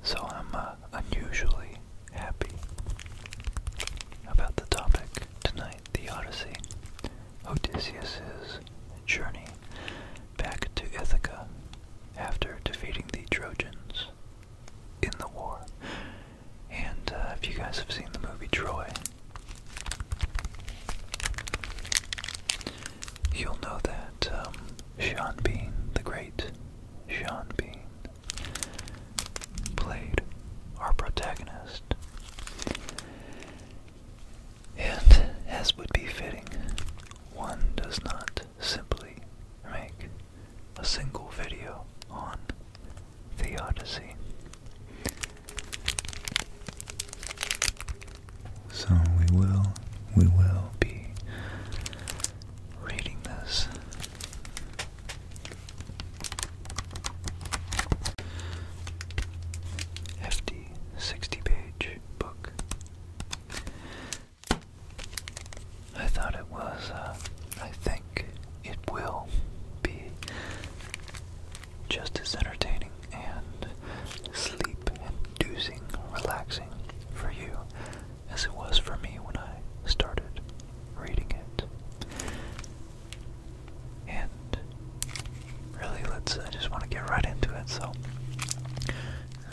So I'm uh, unusually happy about the topic tonight, the Odyssey, Odysseus's journey back to Ithaca after defeating the Trojans in the war. And uh, if you guys have seen the movie Troy, you'll know that um, Sean Bean, the great Sean Bean, played our protagonist. And as would be fitting, one does not simply make a single video on theodicy. So we will we will be reading this. Hefty 60 page book. I thought it was, uh, I think it will be just as entertaining and sleep inducing, relaxing for you as it was for me when I started reading it. And really, let's, I just want to get right into it, so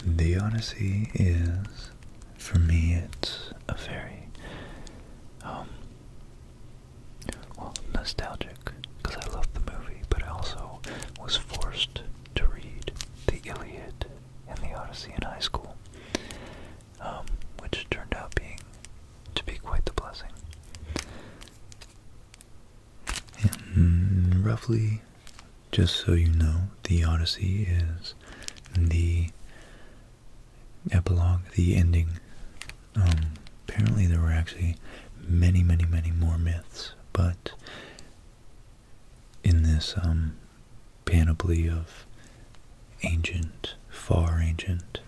the Odyssey is, for me, it's a very, um, nostalgic, because I love the movie, but I also was forced to read the Iliad and the Odyssey in high school, um, which turned out being, to be quite the blessing. And roughly just so you know, the Odyssey is the epilogue, the ending. Um, apparently there were actually many, many, many more myths, but in this um, panoply of ancient, far ancient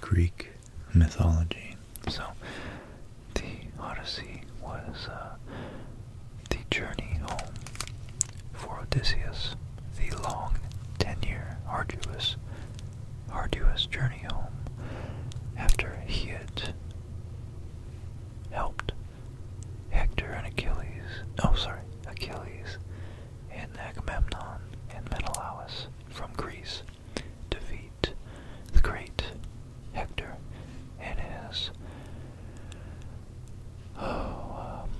Greek mythology. So the Odyssey was uh, the journey home for Odysseus, the long, ten-year, arduous, arduous journey home after he had helped Hector and Achilles, oh sorry, Achilles and Agamemnon and Menelaus from Greece defeat the great Hector and his oh, um,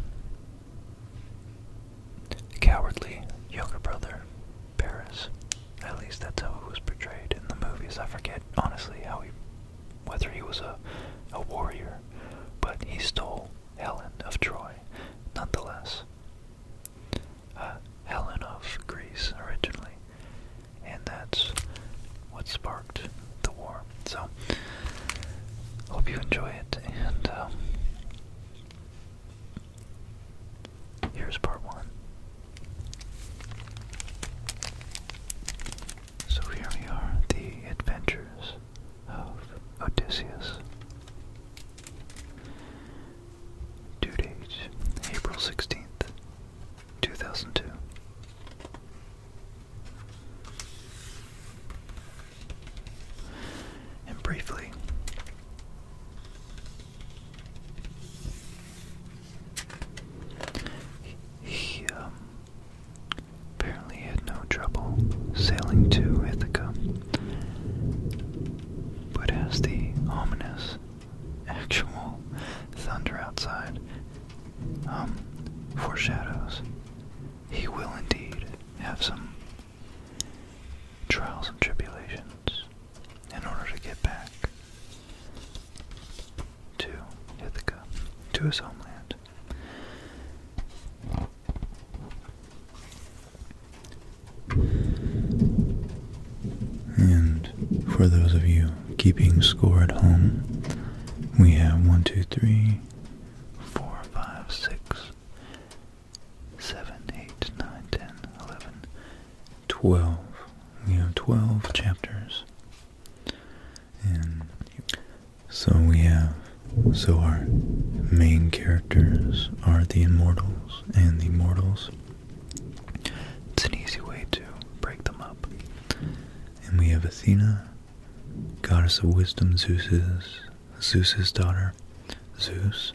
cowardly younger brother, Paris. At least that's how it was portrayed in the movies. I forget honestly how he, whether he was a, a warrior, but he stole Helen of Troy, nonetheless. Uh, Helen of Greece originally and that's what sparked the war. So, hope you enjoy it, and um, here's part one. So here we are, the adventures of Odysseus. Due date, April 16th, 2002. And briefly, he um, apparently had no trouble sailing to Ithaca, but as the ominous actual thunder outside. Um, foreshadows. He will indeed have some trials and tribulations in order to get back to Ithaca, to his homeland. And for those of you keeping score at home, we have 1, 2, 3, 4, 5, 6, 7, 8, 9, 10, 11, 12. We have 12 chapters. And so we have, so our main characters are the immortals, and the mortals. It's an easy way to break them up. And we have Athena, goddess of wisdom, Zeus's, Zeus's daughter, Zeus,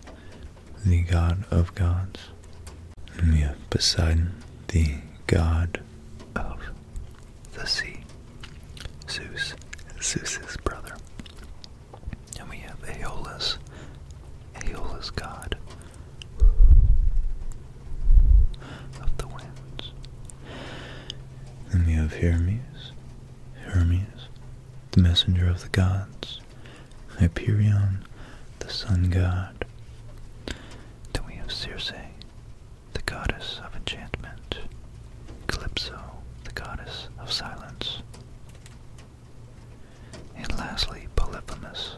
the god of gods. And we have Poseidon, the god of the sea, Zeus, Zeus's brother. And we have Aeolus, Aeolus god, of the winds. Then we have Hermes, Hermes, the messenger of the gods, Hyperion, the sun god. Then we have Circe, the goddess of enchantment, Calypso, the goddess of silence. And lastly, Polyphemus,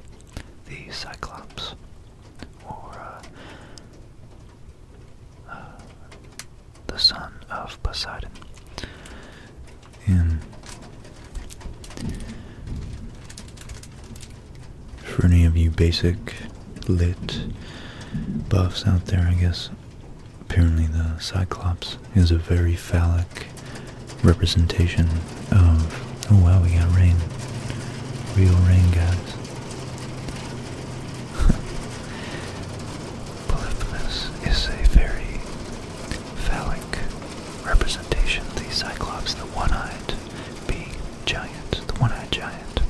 the Cyclops, or uh, uh, the son of Poseidon. And for any of you basic lit buffs out there, I guess apparently the Cyclops is a very phallic representation um, oh wow, we got rain. Real rain, guys. Polyphemus is a very phallic representation of the Cyclops, the one-eyed being giant, the one-eyed giant.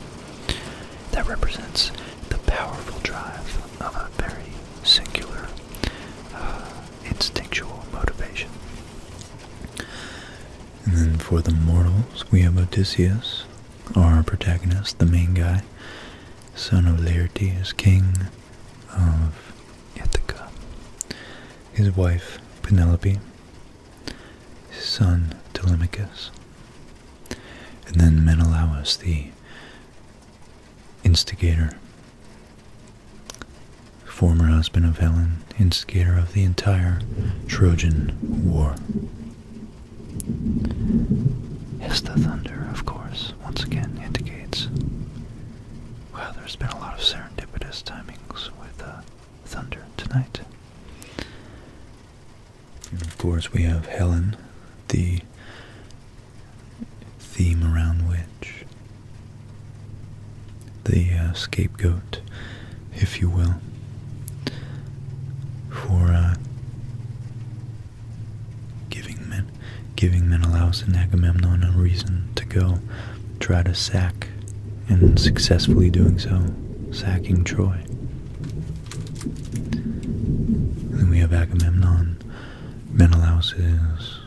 That represents the powerful drive of a very singular, uh, instinctual motivation. And then for the mortals, we have Odysseus, our protagonist, the main guy, son of Laertes, king of Ithaca. His wife, Penelope, son, Telemachus. And then Menelaus, the instigator, former husband of Helen, instigator of the entire Trojan War. Hesta thunder, of course, once again indicates. Well, there's been a lot of serendipitous timings with the uh, thunder tonight. And of course, we have Helen, the theme around which the uh, scapegoat, if you will, for uh, giving men giving Menelaus and Agamemnon a reason to go try to sack, and successfully doing so, sacking Troy. Then we have Agamemnon, Menelaus's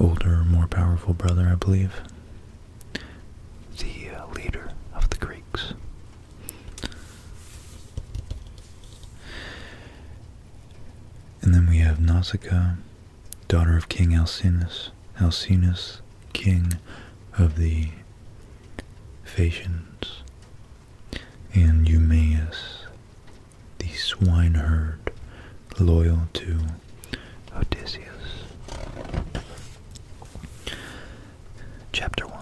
older, more powerful brother, I believe the uh, leader of the Greeks. And then we have Nausicaa, daughter of King Alcinous, Alcinous, king of the Phaeacians, and Eumaeus, the swineherd loyal to Odysseus. Chapter 1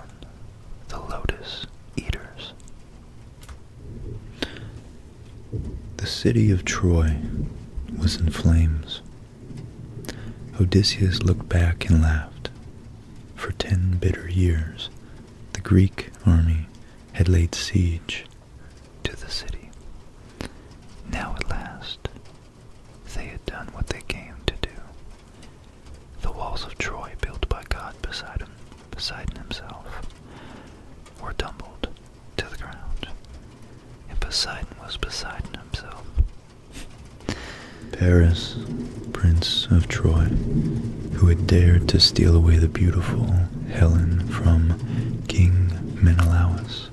The Lotus Eaters. The city of Troy was in flames. Odysseus looked back and laughed. For ten bitter years, the Greek army had laid siege to the city. Now at last, they had done what they came to do. The walls of Troy, built by God Poseidon, him, himself, were tumbled to the ground, and Poseidon was Poseidon himself. Paris, Prince of Troy, who had dared to steal away the beautiful Helen from King Menelaus,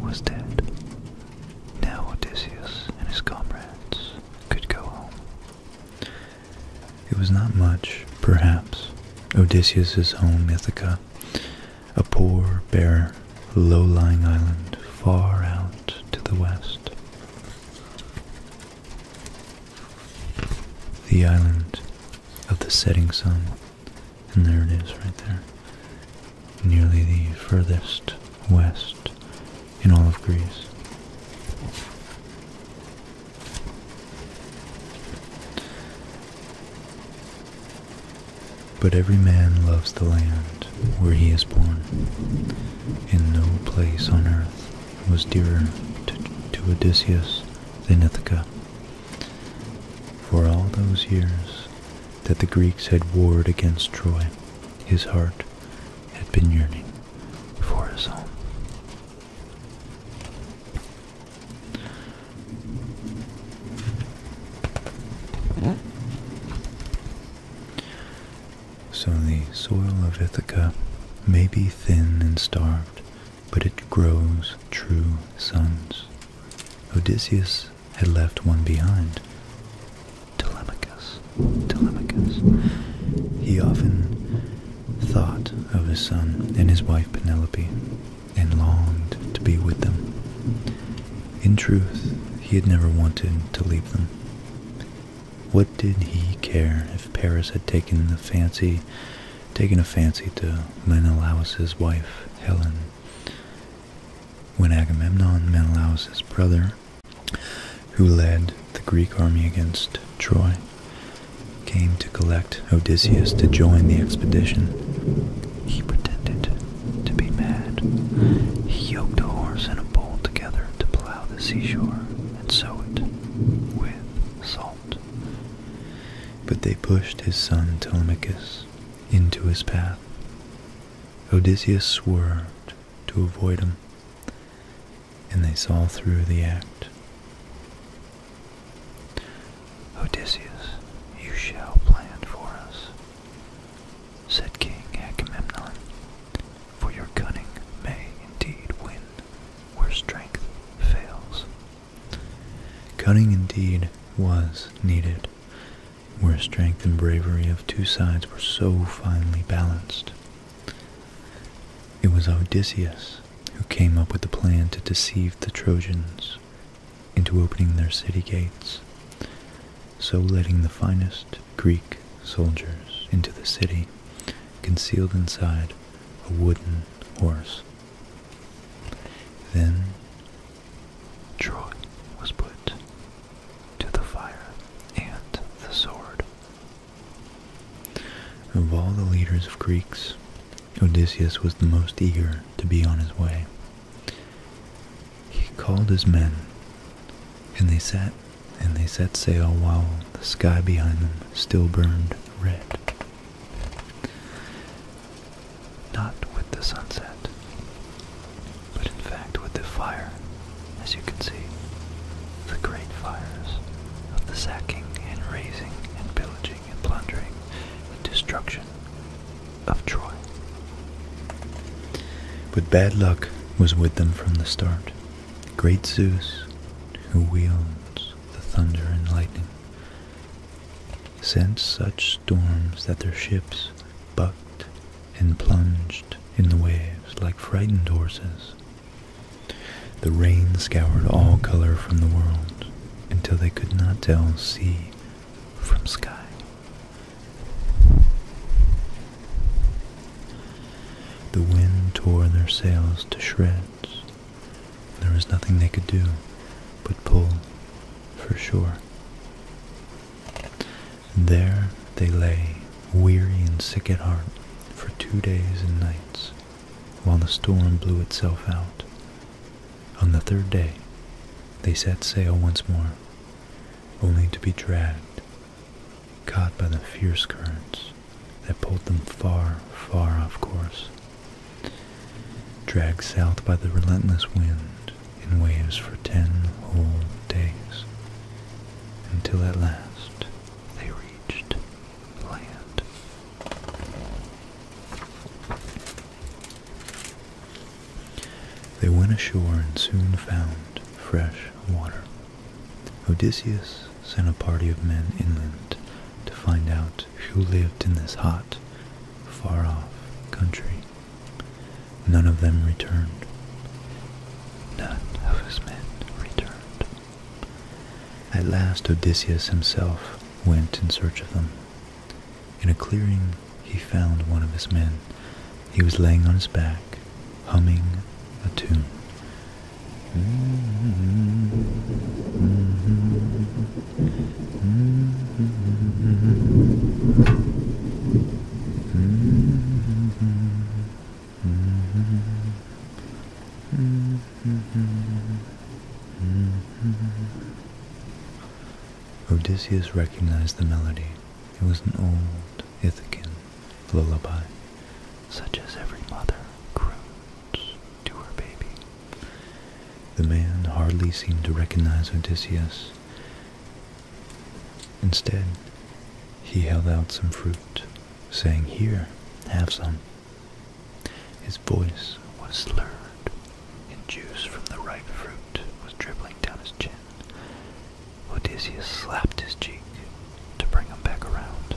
was dead. Now Odysseus and his comrades could go home. It was not much, perhaps, Odysseus's home Ithaca, a poor, bare, low-lying island far out to the west. The island of the setting sun and there it is right there. Nearly the furthest west in all of Greece. But every man loves the land where he is born, and no place on earth was dearer to, Odysseus than Ithaca. For all those years that the Greeks had warred against Troy, his heart had been yearning for his home. So the soil of Ithaca may be thin and starved, but it grows true sons Odysseus had left one behind, Telemachus. Telemachus. He often thought of his son and his wife Penelope and longed to be with them. In truth, he had never wanted to leave them. What did he care if Paris had taken the fancy, taken a fancy to Menelaus's wife Helen when Agamemnon, Menelaus's brother, who led the Greek army against Troy, came to collect Odysseus to join the expedition, he pretended to be mad. He yoked a horse and a bull together to plow the seashore and sow it with salt. But they pushed his son Telemachus into his path. Odysseus swerved to avoid him, and they saw through the act. Odysseus, you shall plan for us, said King Agamemnon, for your cunning may indeed win where strength fails. Cunning indeed was needed, where strength and bravery of two sides were so finely balanced. It was Odysseus who came up with the plan to deceive the Trojans into opening their city gates, so letting the finest Greek soldiers into the city, concealed inside a wooden horse then Troy was put to the fire and the sword. Of all the leaders of Greeks, Odysseus was the most eager to be on his way. He called his men, and they sat and they set sail while the sky behind them still burned red. Not with the sunset, but in fact with the fire, as you can see, the great fires of the sacking and raising and pillaging and plundering and destruction of Troy. But bad luck was with them from the start. Great Zeus, who wields the thunder and lightning, sent such storms that their ships bucked and plunged in the waves like frightened horses. The rain scoured all color from the world until they could not tell sea from sky. The wind tore their sails to shreds there was nothing they could do but pull for shore. And there they lay, weary and sick at heart, for two days and nights, while the storm blew itself out. On the third day, they set sail once more, only to be dragged, caught by the fierce currents that pulled them far, far off course dragged south by the relentless wind in waves for ten whole days, until at last they reached land. They went ashore and soon found fresh water. Odysseus sent a party of men inland to find out who lived in this hot, far-off country. None of them returned. None of his men returned. At last Odysseus himself went in search of them. In a clearing he found one of his men. He was laying on his back, humming a tune. Mm-hmm. Mm-hmm. Odysseus recognized the melody. It was an old Ithacan lullaby, such as every mother croons to her baby. The man hardly seemed to recognize Odysseus. Instead, he held out some fruit, saying, Here, have some. His voice was slurred, and juice from the ripe fruit was dribbling down his chin. Odysseus slapped his cheek to bring him back around.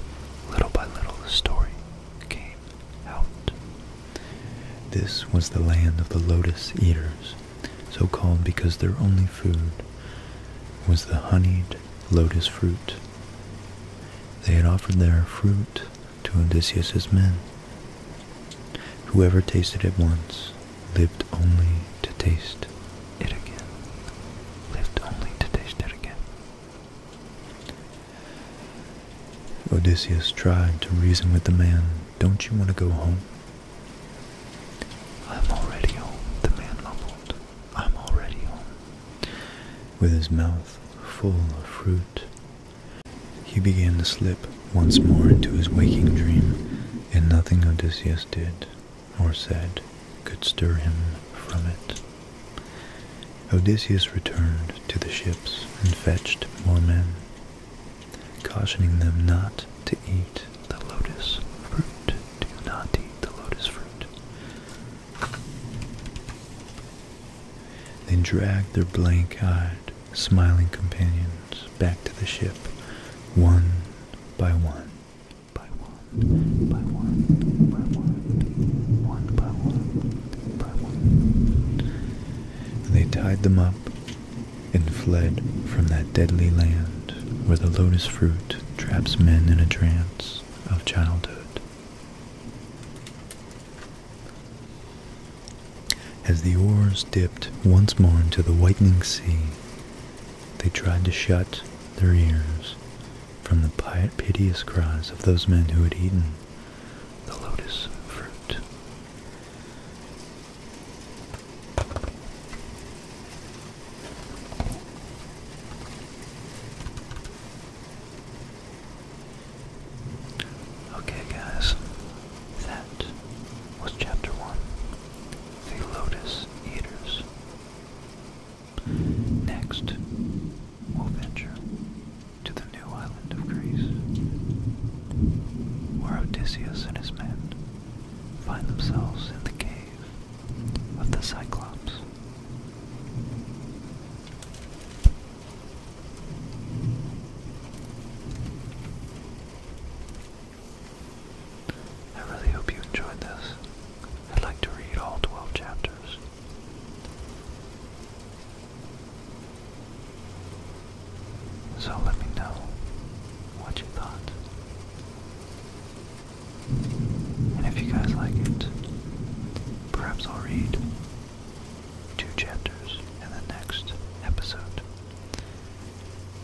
Little by little, the story came out. This was the land of the lotus eaters, so called because their only food was the honeyed lotus fruit. They had offered their fruit to Odysseus's men. Whoever tasted it once lived only to taste it again. Lived only to taste it again. Odysseus tried to reason with the man. Don't you want to go home? I'm already home, the man mumbled. I'm already home. With his mouth full of fruit, he began to slip once more into his waking dream, and nothing Odysseus did or said could stir him from it. Odysseus returned to the ships and fetched more men, cautioning them not to eat the lotus fruit. Do not eat the lotus fruit. They dragged their blank-eyed, smiling companions back to the ship, one by one, by one, by one, by one, one by one. They tied them up and fled from that deadly land where the lotus fruit traps men in a trance of childhood. As the oars dipped once more into the whitening sea, they tried to shut their ears from the piteous cries of those men who had eaten the lotus fruit. Okay, guys, that was chapter one The Lotus Eaters. Next will venture to the new island of Greece, where Odysseus and his men find themselves in the cave of the Cyclops. I really hope you enjoyed this. I'd like to read all 12 chapters. So let me know what you thought. And if you guys like it, perhaps I'll read two chapters in the next episode.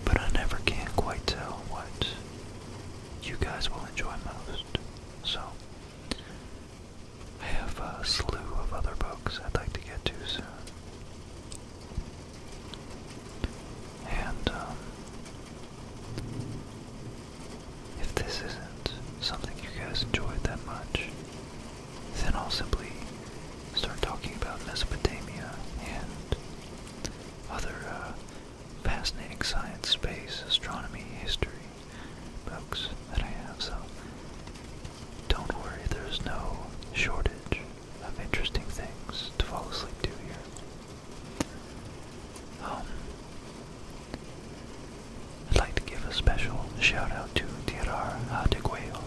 But I never can quite tell what you guys will enjoy most. So I have a slew of other books I'd like to get to soon. And, um, if this isn't something you guys enjoyed that much, then I'll simply start talking about Mesopotamia and other uh, fascinating science, space, astronomy, history, books that I have, so don't worry, there's no shortage of interesting things to fall asleep to here. Um, I'd like to give a special shout out to Tirar Adeguayo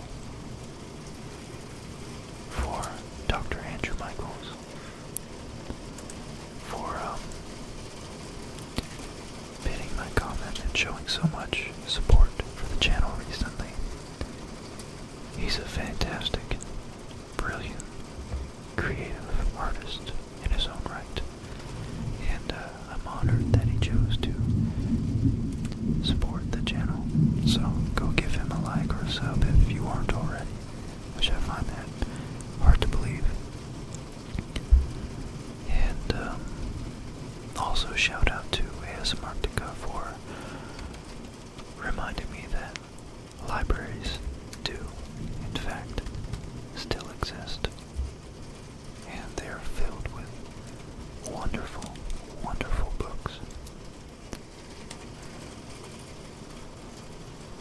for Dr. Andrew Michaels for um, pinning my comment and showing so much support for the channel recently. He's a fantastic, brilliant, creative artist in his own right, and uh, I'm honored that he chose to support the channel. So go give him a like or a sub if you aren't already, Wish I find that hard to believe. And um, also shout out to ASMarctica for reminding me that libraries do, in fact, still exist. And they are filled with wonderful, wonderful books.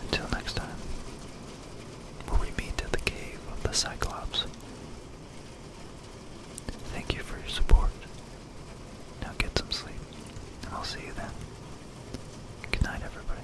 Until next time, where we meet at the cave of the Cyclops. Thank you for your support. Now get some sleep, and I'll see you then. Good night, everybody.